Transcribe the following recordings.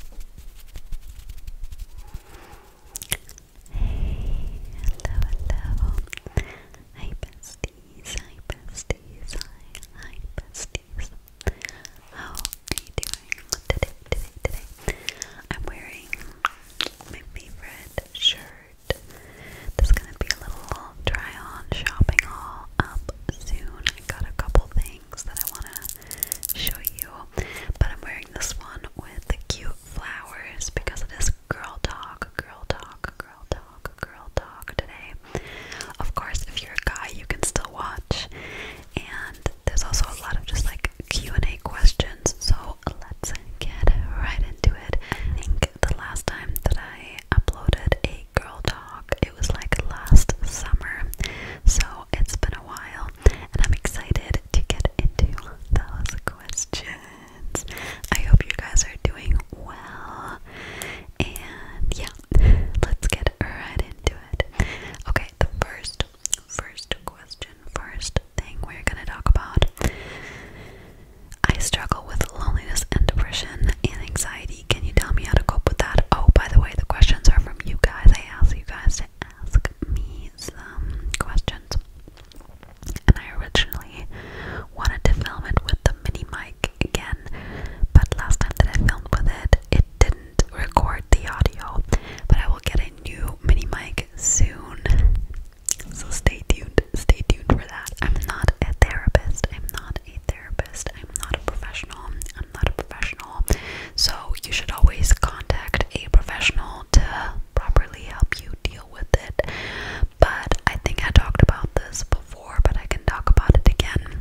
Hey, hello, hello. Hi besties, hi besties, hi, hi besties. How are you doing today, today, today? I'm wearing my favorite shirt. This is gonna be a little try on shopping haul up soon. I got a couple things that I want to show you. But I'm wearing this one with the cute flowers because it is girl talk, girl talk, girl talk, girl talk today. Of course, if you're a guy, you can still watch. And there's also a lot of just like Q&A questions. So let's get right into it. I think the last time that I uploaded a girl talk, it was like last summer. So it's been a while, and I'm excited to get into those questions. I hope you guys are doing well. And yeah, let's get right into it. Okay, the first, first question, first thing we're gonna talk about. I struggle with loneliness and depression and anxiety. Can you tell me how to cope with that? Oh, by the way, the questions are from you guys. I asked you guys ask me some questions. And I originally wanted to film it with the mini mic again, but last time that I filmed with it, it didn't record the audio. But I will get a new mini mic soon. So stay tuned, stay tuned for that. I'm not a therapist, I'm not a therapist, I'm not a professional, not a professional. So you should always contact a professional to properly help you deal with it. But I think I talked about this before, but I can talk about it again.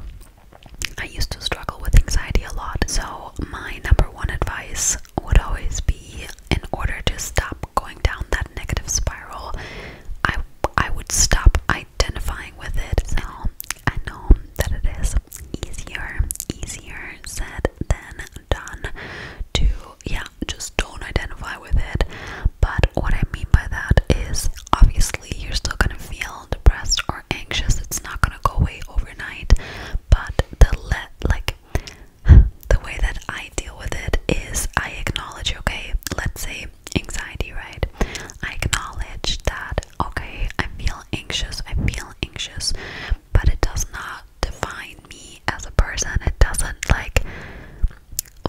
I used to struggle with anxiety a lot, so my number one advice would always be in order to stop going down that negative spiral, I I would stop identifying with it. So I know that it is easier, easier said than done to, yeah, just don't identify with it. But what I mean by that is obviously you're still gonna feel depressed or anxious, it's not gonna go away overnight, but the let like the way that I deal with it is I acknowledge, okay, let's say anxiety, right? I acknowledge that okay, I feel anxious, I feel anxious, but it does not define me as a person. It doesn't, like,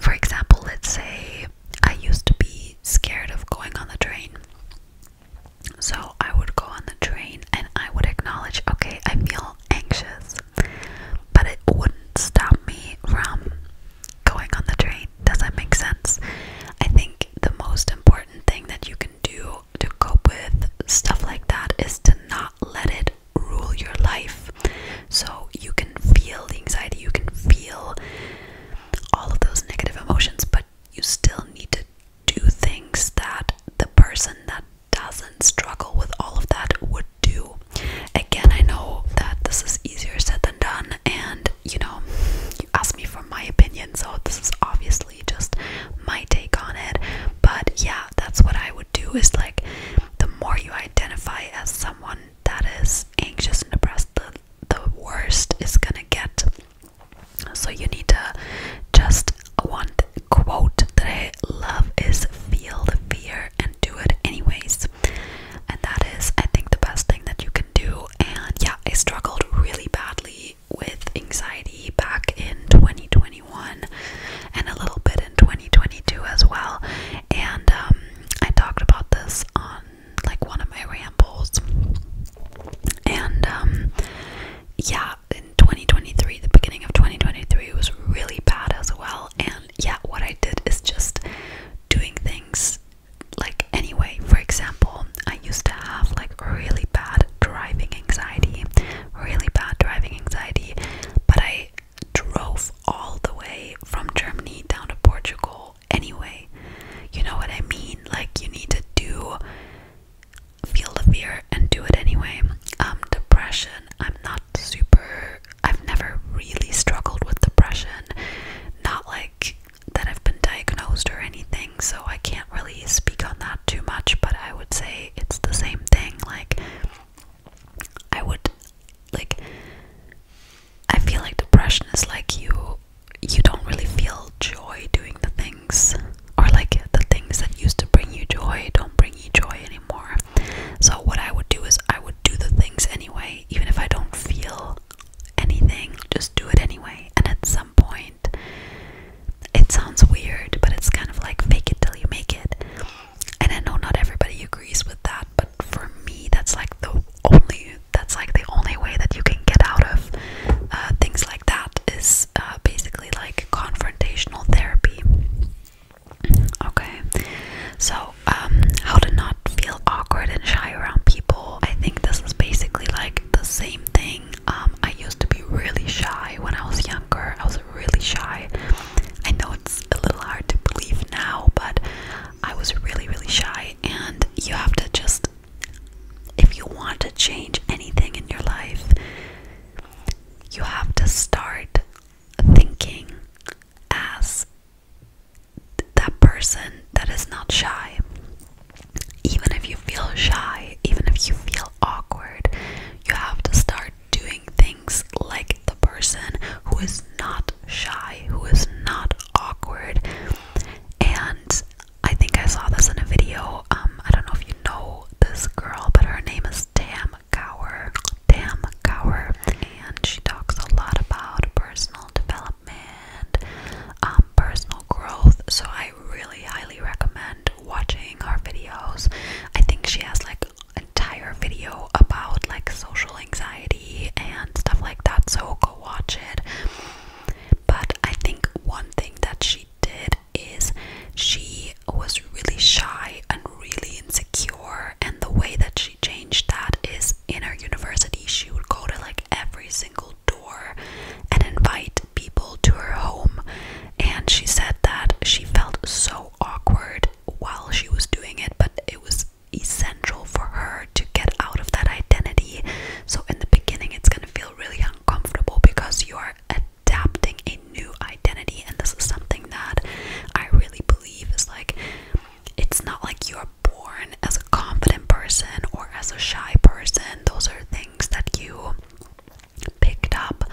for example, let's say I used to be scared of going on the train. So I would go on the train and I would acknowledge, okay, I feel anxious, but it wouldn't stop me from going on the train. Does that make sense? I think the most important thing that you can do to cope with stuff like that is to not let it rule your life. So you can feel the anxiety, you can feel all of those negative emotions, but you still need to do things that the person that doesn't struggle with all of that would do. Again, I know that this is easier said than done, and you know, you asked me for my opinion, so this is obviously just my take on it but yeah that's what i would do is like the more you identify as someone that is anxious and depressed the, the worst is gonna get so you need to just one quote that i love is feel the fear and do it anyways and that is i think the best thing that you can do and yeah i struggled really badly with anxiety back in 2021 and a little bit in 2022 as well. And um, I talked about this on like one of my rambles. And um, yeah, in 2023, the beginning of 2023 was really bad as well. And yeah, what I did is just doing things like anyway for example i used to have like really bad driving anxiety really bad driving anxiety but i drove all the way from germany down to portugal anyway you know what i mean like you need to do feel the fear and do it anyway um depression i'm not super i've never really struggled with depression not like that have been diagnosed or anything, so I can't really speak on that too much, but I would say it's the same thing. Like, I would, like, I feel like depression is like you you don't really feel joy doing the things or like the things that used to bring you joy don't bring you joy anymore. So what I would do is I would do the things anyway, even if I don't feel anything, just do it anyway. And at some point it sounds weird, but it's kind of like fake it till you make it. And I know not everybody agrees with that, but for me, that's like the only that's like the only way that you can get out of uh, things like that is uh, basically like confrontational therapy. Okay, so um, how to not feel awkward and shy around people. I think this is basically like the same thing. Um, I used to be really shy when I was younger. I was really shy. I know it's a little hard to believe now, but I was really, really shy. And you have to just, if you want to change anything in your life, you have to start thinking as that person that is not shy even if you feel shy, even if you feel awkward, you have to start doing things like the person who is not shy, who is not awkward. And I think I saw this in a video. Um, I don't know if you know this girl, but her name is Tam Gower. Tam Gower. And she talks a lot about personal development and um, personal growth. So I really highly recommend watching her videos. I think she has like an entire video about like social anxiety and stuff like that. So go watch it. But I think one thing that she did is she was really shy and really insecure, and the way that she changed that is in her university, she would go to like every single door and invite people to her home. And she said that she felt so awkward while she was doing it, but it was essential for her to get out of that identity. So, in the beginning, it's going to feel really uncomfortable because you are adapting a new identity, and this is something that I really believe is like it's not like you're born as a confident person or as a shy person. Those are things that you picked up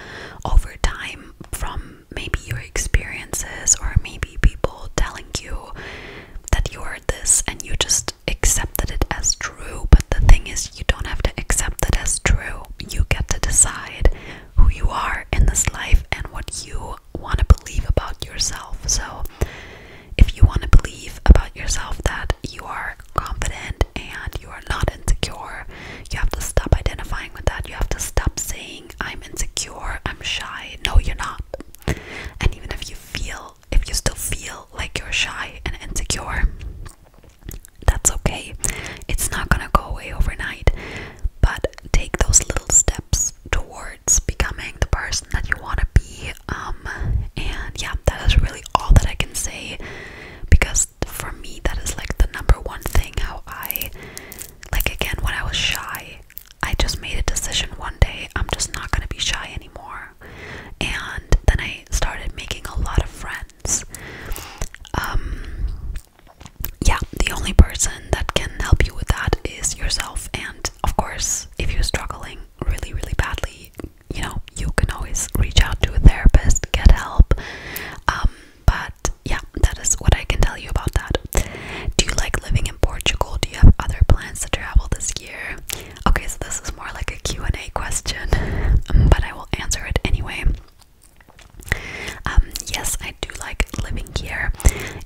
over time from maybe your experiences or maybe people telling you that you are this and you just accepted it as true. But the thing is, you don't have to accept it as true. You get to decide who you are in this life and what you want to believe about yourself. So if you want to believe about yourself that you are confident and you are not insecure, you have to stop identifying with that. You have to stop saying, I'm insecure, I'm shy. No, you're not. And even if you feel, if you still feel like you're shy and insecure, that's okay. It's not going to go away overnight. But take those little steps towards becoming the person that you want to be um and yeah that is really all that I can say because for me that is like the number one thing how I like again when I was shy I just made a decision one day I'm just not going to be shy anymore and then I started making a lot of friends um yeah the only person that can help you with that is yourself and of course if you're struggling really, really badly, you know, you can always reach out to a therapist, get help. Um, but yeah, that is what I can tell you about that. Do you like living in Portugal? Do you have other plans to travel this year? Okay, so this is more like a Q&A question, um, but I will answer it anyway. Um, yes, I do like living here,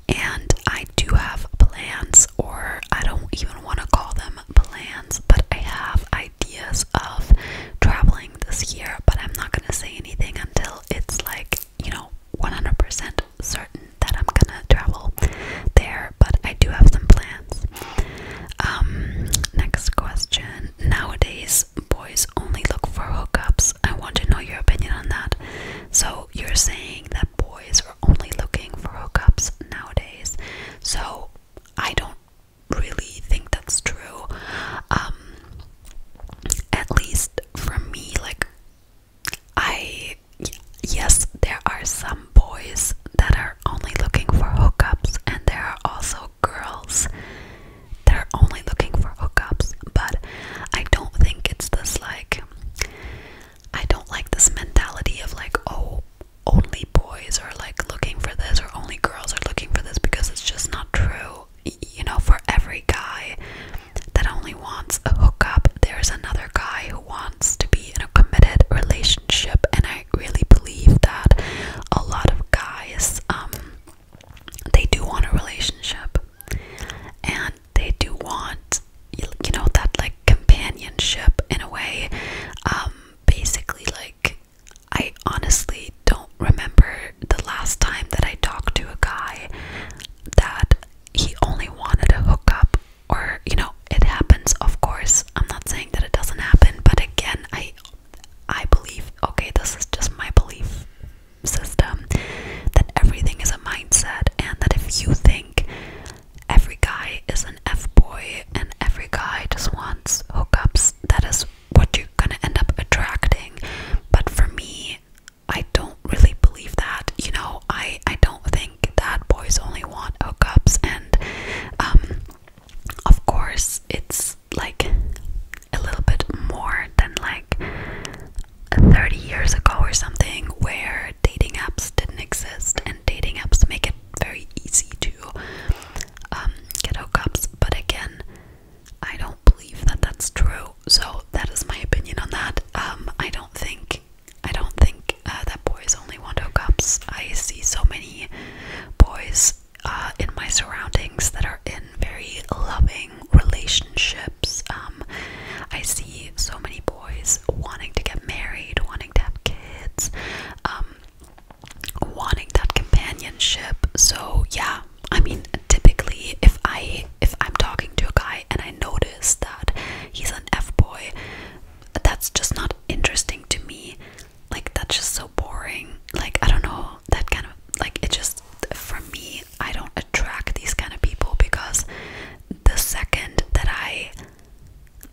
and I do have plans, or I don't even want to call them plans, but I have ideas of traveling this year, but I'm not going to say anything until it's like, you know, 100% certain that I'm going to travel there, but I do have some plans. Um, next question. Nowadays, boys only look for hookups. I want to know your opinion on that. So, you're saying that boys only looking for hookups nowadays. So I don't really think that's true. Um, at least for me, like, I, yes, there are some boys that are only looking for hookups, and there are also girls that are only looking for hookups, but I don't think it's this like I don't like this mentality of like, oh, only boys are like looking for this or only girls are looking for this because it's just not true. You know, for every guy that only wants a hookup, there's another guy who wants to be in a committed relationship, and I really believe that a lot of guys, um, they do want a relationship and they do want you know that like companionship in a way um, basically like I honestly don't remember the last time that I talked to a guy that he only wanted a hookup or you know it happens of course I'm not saying that it doesn't happen but again I I believe okay this is just my belief system that everything is a mindset and that if you think every guy is an F boy and every guy just wants hookups. That is what you're gonna end up attracting. But for me, I don't really believe that. You know, I I don't think that boys only want hookups and um of course it's like a little bit more than like 30 years ago or something where dating apps didn't exist dating apps make it very easy to um, get hookups. But again, I don't believe that that's true. So that is my opinion on that. Um, I don't think I don't think uh, that boys only want hookups. I see so many boys uh, in my surroundings that are in very loving relationships. Um, I see so many boys wanting to get married, wanting to have kids, um, wanting that companionship. So yeah, I mean, typically if I if I'm talking to a guy and I notice that he's an F boy, that's just not interesting to me. Like that's just so boring. Like I don't know that kind of like it just for me I don't attract these kind of people because the second that I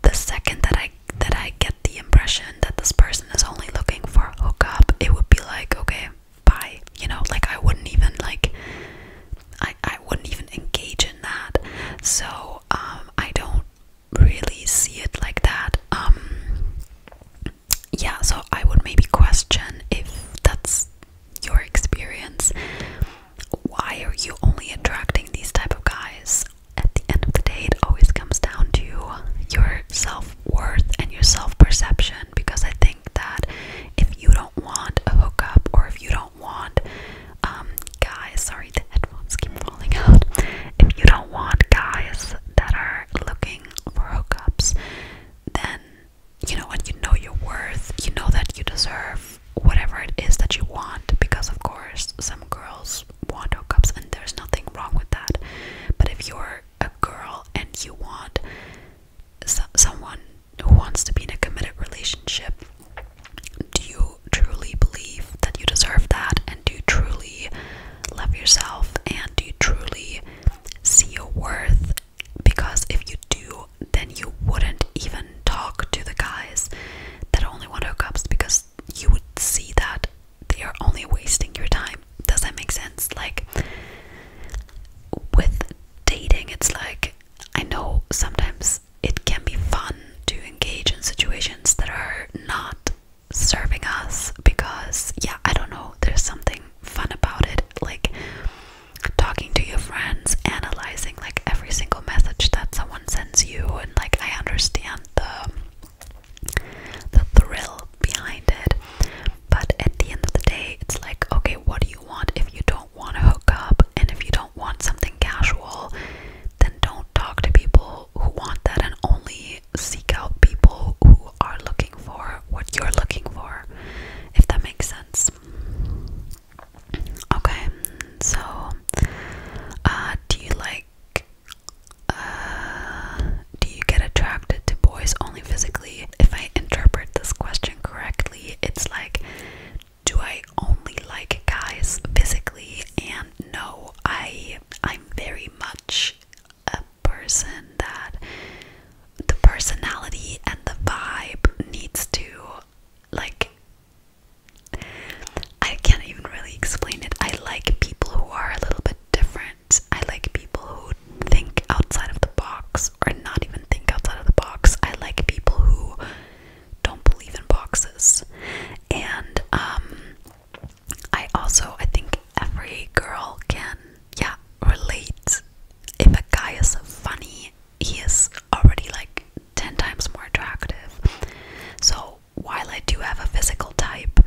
the second that I that I get the impression that this person is only looking for a hookup, it would be like, okay, bye. You know, like I wouldn't even like I I wouldn't even engage in that. So um I don't really see it like that. Um yeah, so I would maybe question if that's your experience why are you only attracting these type of guys? At the end of the day, it always comes down to your self-worth and your self-perception because I think that if you don't want a hookup or if you don't want um guys, sorry the headphones keep falling out. If you don't want guys that are looking for hookups, then you know when you know your worth, you know that you deserve whatever it is that you want because of course some girls want hookups and there's nothing wrong with that but if you're a girl and you want someone who wants to be in a committed relationship do you truly believe that you deserve that and do you truly love yourself and do you truly see your worth because if you do then you wouldn't even talk to the guys that only want hookups because you would see that they are only wasting your time. Does that make sense? Like, with dating, it's like I know sometimes it can be fun to engage in situations that are not serving us because, yeah, I don't know, there's something fun about it. Like, talking to your friends, analyzing like every single message that someone sends you, and like I understand the the thrill behind it. But at the end of the day, it's like, okay, what do you want? If you don't want to hook up, and if you don't want something casual, then don't talk to people who want that, and only seek out people who are looking for what you're looking for. If that makes sense. Okay, so uh, do you like? Uh, do you get attracted to boys only physically? If I interpret this question correctly, it's like, do I only like guys physically? And no, I I'm very much a person that the personality and the vibe needs to like I can't even really explain it. I like people who are a little bit different. I like people who think outside of the box or not even think outside of the box. I like people who don't believe in boxes. And um I also I think every girl can yeah relate if a guy is funny he is already like 10 times more attractive. So, while I do have a physical type,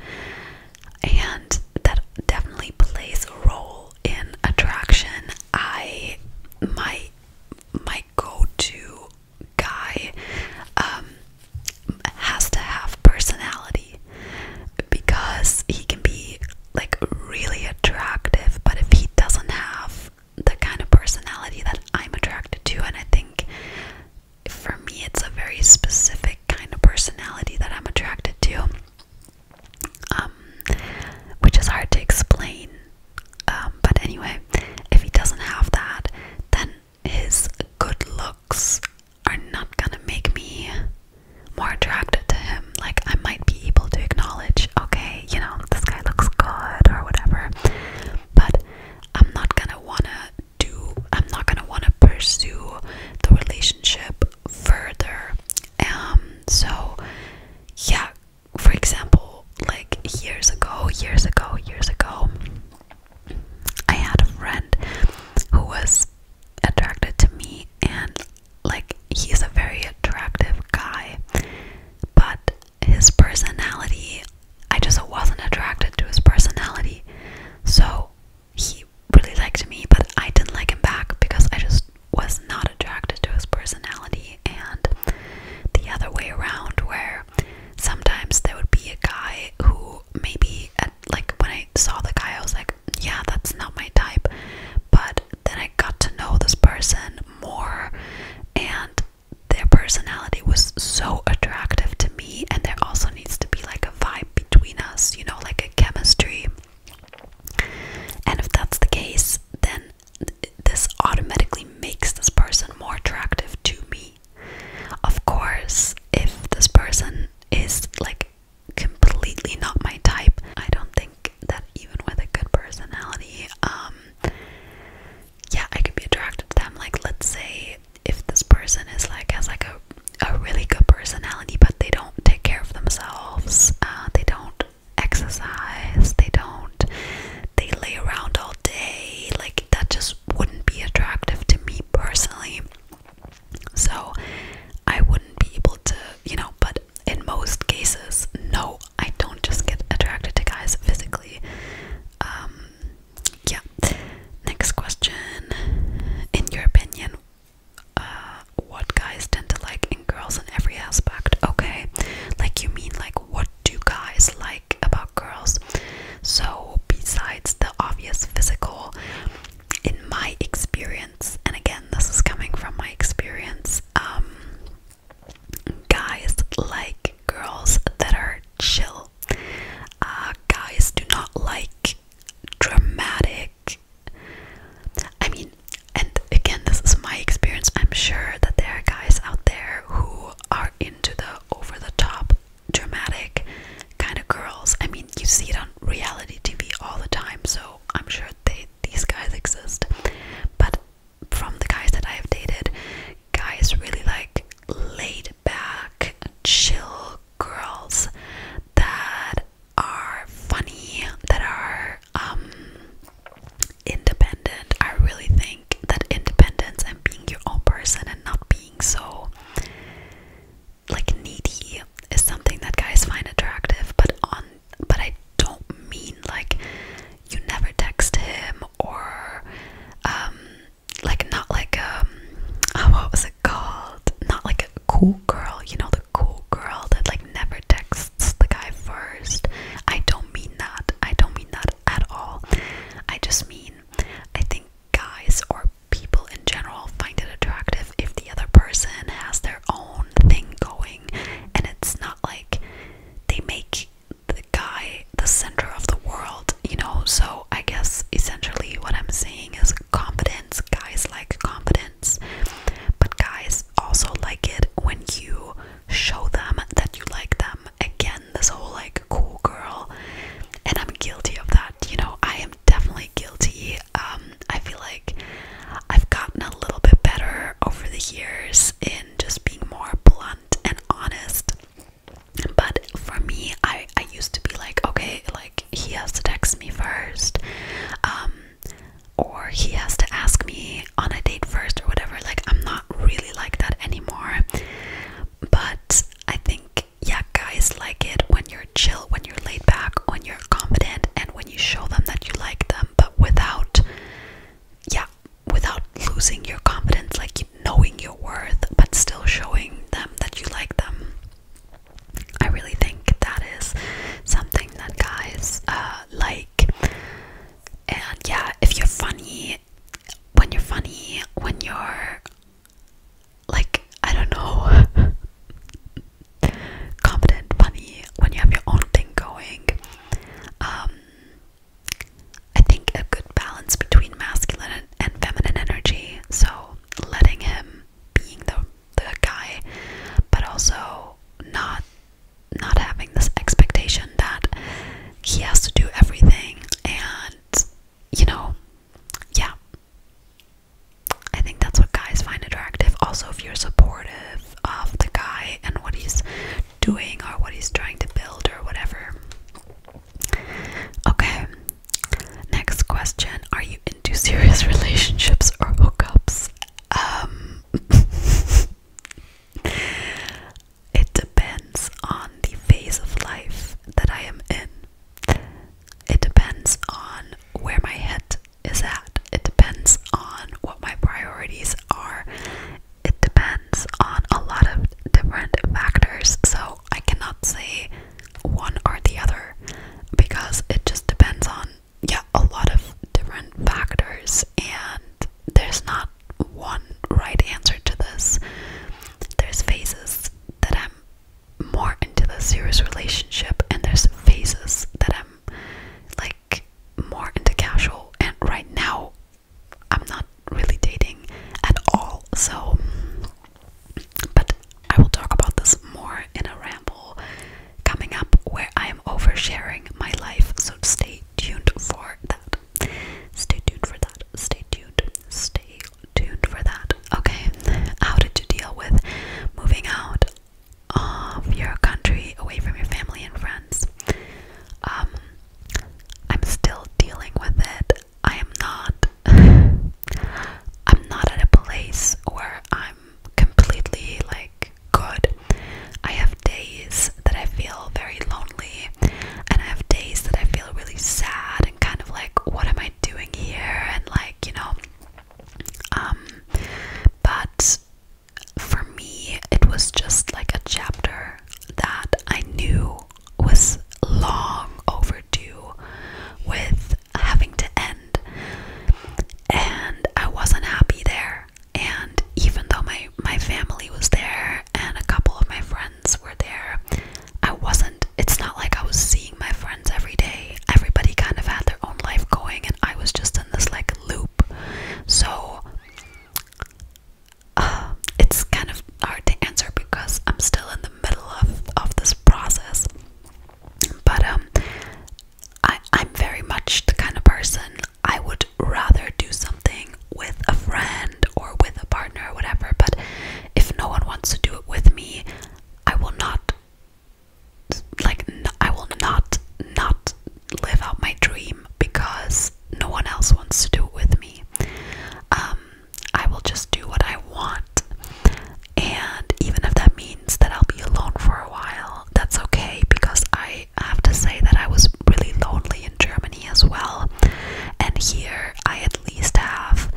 and that definitely plays a role in attraction, I my my go-to guy um, has to have personality because he can be like really attractive, but if he doesn't have the kind of personality that I'm attracted to, and I think for me it's a very specific kind of personality that I'm attracted to, um, which is hard to explain. Um, but anyway, if he doesn't have that, then his good looks are not gonna make me more attracted to him. Like, I might be able to acknowledge, okay, you know, this guy looks good or whatever. But I'm not gonna wanna do, I'm not gonna wanna pursue the relationship further. Um, so yeah, for example, like years ago, years ago, years ago, I had a friend who was attracted to me and like he's a very attractive guy but his personality, I just wasn't attracted to his personality. So he really liked me, but I didn't like him back because I just was not attracted to his personality. And the other way around, where sometimes there would be a guy who maybe, like when I saw the guy, I was like, yeah, that's not my type. But then I got to know this person more and their personality was so attractive to me and there also needs to be like a vibe between us, you know, like a chemistry. And if that's the case, then this automatically makes this person more attractive to me. Of course, if this person is like completely not my type, I don't think think that even with a good personality, um, yeah, I could be attracted to them. Like, let's say if this person is like has like a a really good personality, but they don't take care of themselves, uh, they don't exercise, they don't, they lay around all day. Like, that just wouldn't be attractive to me personally. So, I wouldn't be able to, you know, but in most cases, no, I don't just get attracted to guys physically. Um, yeah. Next question. In your opinion, uh, what guys tend to like in girls in every aspect? Okay, like you mean like what do guys like about girls? So besides the obvious physical, in my experience, and again this is coming from my experience, um, guys like girls that are chill. Uh, guys do not like dramatic. I mean, and again, this is my experience. I'm sure that there are guys out there who are into the over the top, dramatic kind of girls. I mean, you see it on reality TV all the time, so I'm sure they, these guys exist. But from the guys that I've dated, guys really like laid back, chill girls that are funny, that are um independent. I really think that independence and being your own person and not being so like needy is something that guys find attractive, but on but I don't mean like you never text him or um, like not like um oh, what was it called? Not like a cool girl, you know the cool girl that like never texts the guy first. I don't mean that. I don't mean that at all. I just mean I think guys or people in general find it attractive if the other person has their own thing going and it's not like they make the guy the center of the world, you know. So I guess essentially what I'm saying is confidence. Guys like confidence, but guys also like it when you show them that you like them. Again, this whole like cool girl, and I'm guilty of that, you know. I am definitely guilty. Um, I feel like I've gotten a little bit better over the years just being more blunt and honest. But for me, I I used to be like, okay, like he has to text me first, um, or he has to ask me on a date first or whatever. Like I'm not really like that anymore. But I think yeah, guys like it when you're chill, when you're laid back, when you're confident, and when you show them that you like them, but without yeah, without losing your confidence, like knowing your worth, but still showing them that you like them. I really think that is something that guys uh, like. And yeah, if you're funny, when you're funny, when you're like, I don't know, confident, funny, when you have your own thing going, um, I think a good balance between masculine and feminine energy. So letting him being the the guy, but also not not having this expectation that he has to do everything and you know yeah i think that's what guys find attractive also if you're supportive of the guy and what he's doing or what he's trying to build or whatever. Okay, next question Are you into serious relationships or hookups? Um, it depends on the phase of life that I am in. It depends on where my head is at. It depends on what my priorities are. It depends on a lot of different factors. So I cannot say one or the other because it just depends on, yeah, a lot of different factors. And there's not one right answer to this. There's phases that I'm more into the serious relationship, and there's phases that I'm like more into casual and right now I'm not really dating at all so but I will talk about this more in a ramble coming up where I am oversharing my life so stay tuned for that stay tuned for that stay tuned stay tuned for that okay how did you deal with moving out of your country, away from your family and friends. Um, I'm still dealing with it. I am not. I'm not at a place where I'm completely like good. I have days that I feel very lonely, and I have days that I feel really sad and kind of like, what am I doing here? And like, you know, um, but for me, it was just like a chapter that I knew was long overdue with having to end. And I wasn't happy there. And even though my, my family was there and a couple of my friends were there, I wasn't, it's not like I was seeing my friends every day. Everybody kind of had their own life going, and I was just in this like loop. So uh, it's kind of hard to answer because I'm still in the middle of, of this process. But um, I, I'm very much the kind of person I would rather do something with a friend or with a partner or whatever. But if no one wants to do it with me, I will not like I will not not live out my dream because no one else wants to do it with me. Um, I will just do what I want, and even if that means that I'll be alone for a while, that's okay because I have to say that I was really lonely in Germany as well, and here I at least have,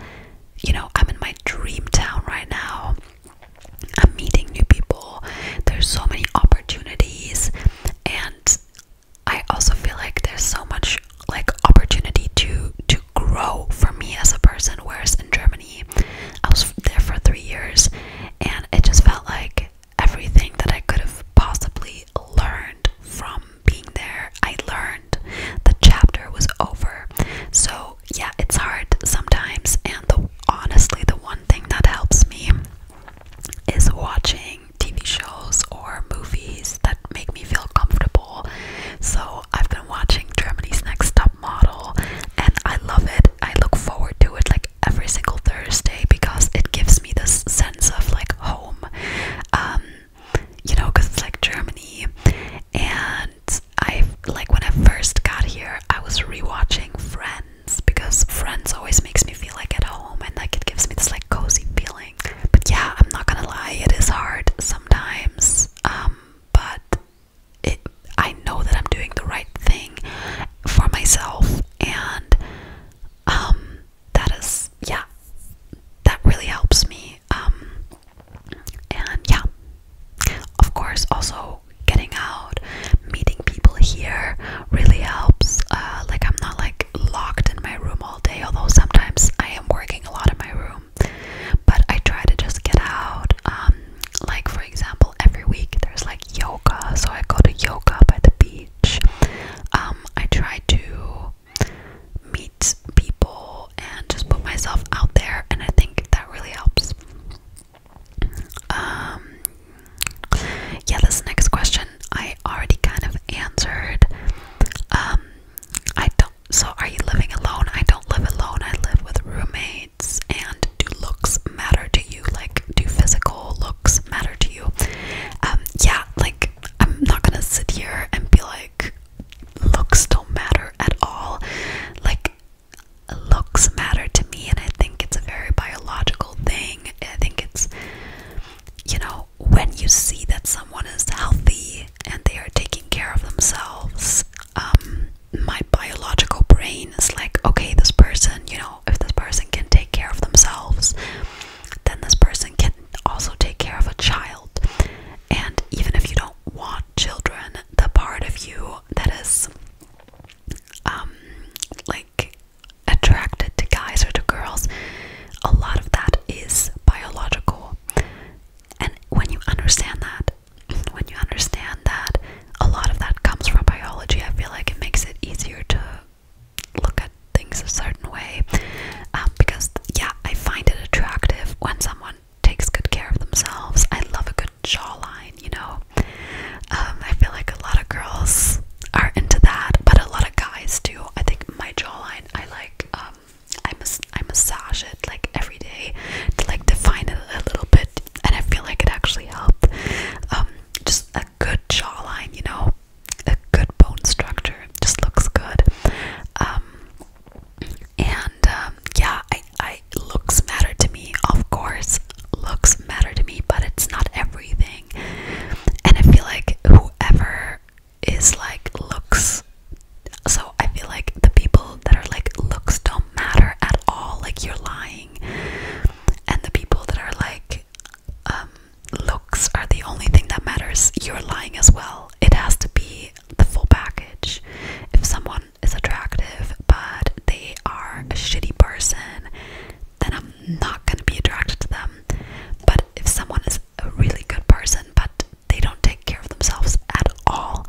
you know, I'm in my dream town right now. I'm meeting new people. There's so many opportunities and I also feel like there's so much like opportunity to to grow for me as a person whereas in Germany I was there for 3 years and it just felt like everything that I could have possibly learned from being there I learned the chapter was over so yeah it's hard sometimes and the honestly the one thing that helps me is watching TV shows or movies that make me feel comfortable. So I've been watching Germany's Next Top Model and I love it. I look forward to it like every single Thursday because it gives me this sense of like home. Um, you know, because it's like Germany and I like when I first got here I was rewatching Friends because friends always makes me feel like at home and like it gives me this like cozy feeling. But yeah, I'm not gonna lie, it is hard sometimes. Um, but it, I know that I'm doing the right thing for myself, and um, that is yeah, that really helps me. Um, and yeah, of course, also getting out, meeting people here really helps. Uh, like, I'm not like locked in my room all day, although sometimes I am working a lot in my room, but I try to just get out. Um, like, for example, every week there's like yoga, so I go to yoga by the beach. Um, I try to meet people and just put myself out there, and I think that really helps. Um, yeah, this next question I already kind of answered. Um, I don't. So, are you living alone? I don't live alone. I live with roommates. And do looks matter to you? Like, do physical looks matter to you? Um, yeah, like I'm not gonna sit here and be like looks don't matter at all. Like looks matter to me, and I think it's a very biological thing. I think it's, you know, when you see that someone is healthy and they are taking care of themselves, um, my biological brain is like, okay, this person, you know, if this person can take care of themselves, then this person can also take care of a child. And even if you don't want children, the part of you that is um, like attracted to guys or to girls, a lot of that is biological. And when you understand that, when you understand that a lot of that comes from biology, I feel like it makes it easier to look at things a certain way. Um, because, yeah, I find it attractive when someone takes good care of themselves. I love a good jawline, you know, um, I feel like a lot of girls are into that, but a lot of guys do. I think my jawline, I like, um, I mas I massage it like every day to like define it a little bit, and I feel like it actually helped. Um, just a good jawline, you know, a good bone structure just looks good. Um, and um, yeah, I I looks matter to me, of course, looks matter to me, but it's not everything. And I feel like whoever is like looks so I feel like the people that are like looks don't matter at all, like you're lying. And the people that are like um, looks are the only thing that matters, you're lying as well. It has to be the full package. If someone is attractive but they are a shitty person, then I'm not gonna be attracted to them. But if someone is a really good person but they don't take care of themselves at all,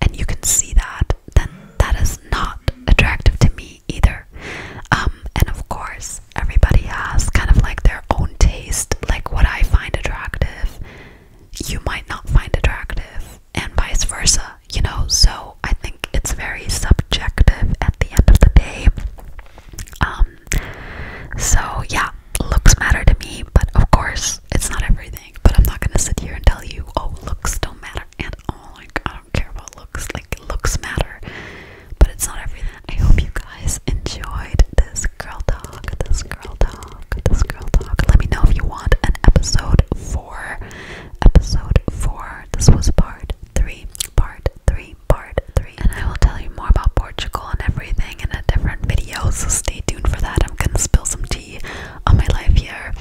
and you can see that, then that is not attractive to me either. Um, and of course, everybody has kind of like their own taste, like what I find attractive, you might not find attractive and vice versa, you know. So I think it's very subjective at the end of the day. Um, so yeah, looks matter to me, but of course, it's not everything. But I'm not gonna sit here and tell you, oh, looks don't matter, and oh, like I don't care about looks, like looks matter, but it's not everything. I hope you guys enjoyed this girl talk, this girl talk, this girl talk. Let me know if you want an episode for episode 4. This was part 3, part 3, part 3. And I will tell you more about Portugal and everything in a different video, so stay tuned for that. I'm gonna spill some tea on my life here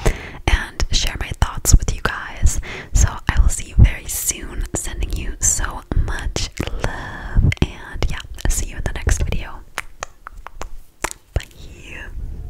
and share my thoughts with you guys. So I will see you very soon. Sending you so much love, and yeah, see you in the next video. Bye.